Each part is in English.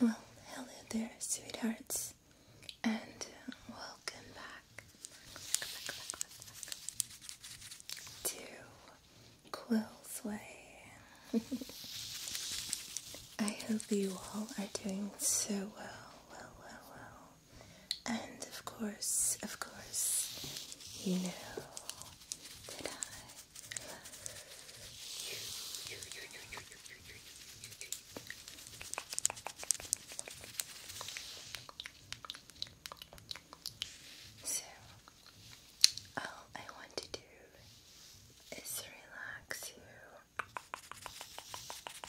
Well, hello there, sweethearts, and uh, welcome back, to Quill's Way. I hope you all are doing so well, well, well, well. And of course, of course, you know that So, all I want to do is relax you,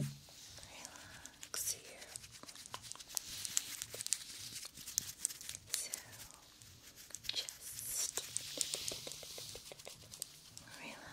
relax you, so just relax. relax. Good.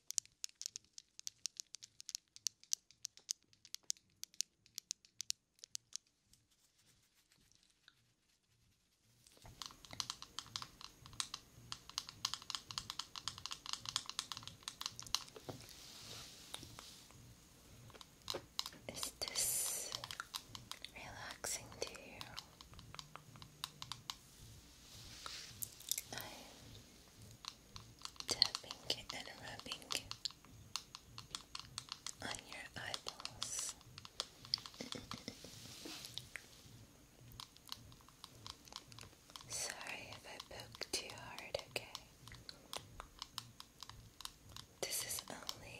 Is this relaxing to you? I tapping and rubbing on your eyeballs. Sorry if I poke too hard, okay? This is only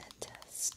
a test.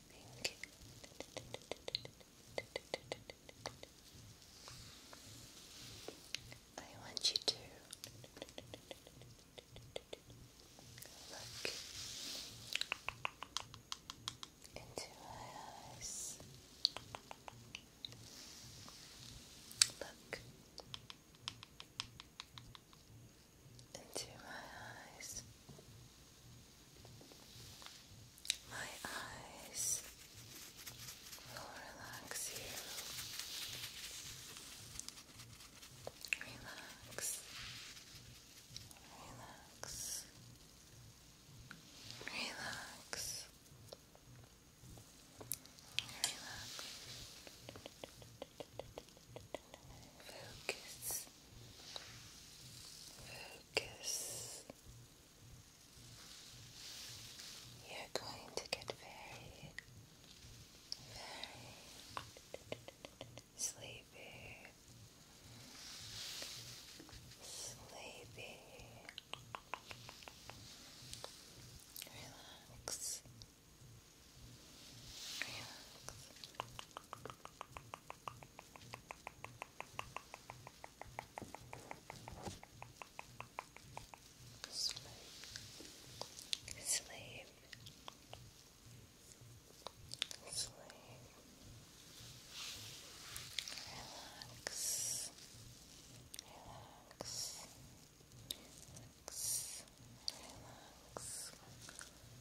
pink. I want you to look into my eyes. Look into my eyes. My eyes will relax you. Relax. Relax. Relax. Relax. Focus. Focus. You're going to get very, very sleepy. Sleepy. Relax. Sleep. Sleep. Relax. Relax. Relax. Relax.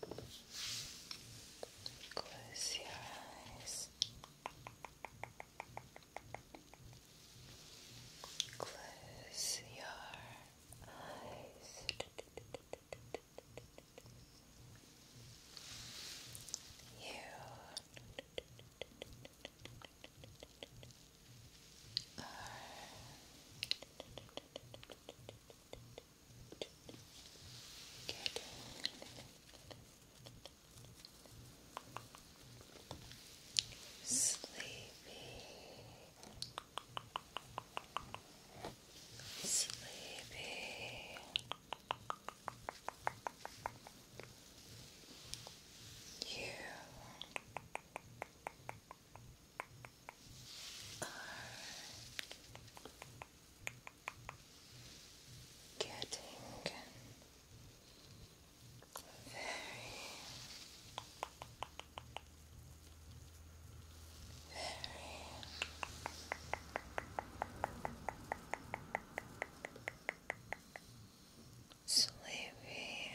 Close your eyes. Close your eyes. You are sleepy, sleepy. You are getting very, sleepy very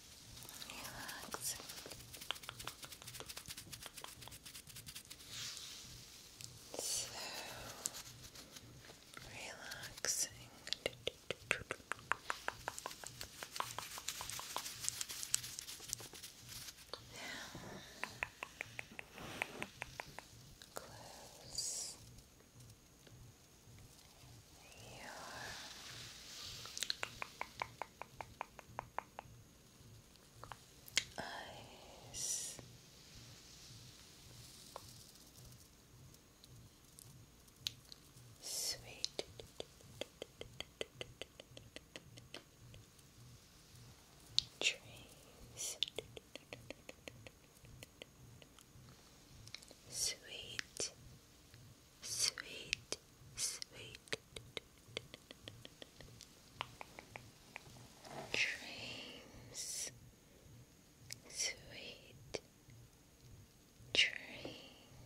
Relax. So relaxing. Now, close your eyes. Sweet. Trees. Sweet sweet, sweet dreams, sweet dreams.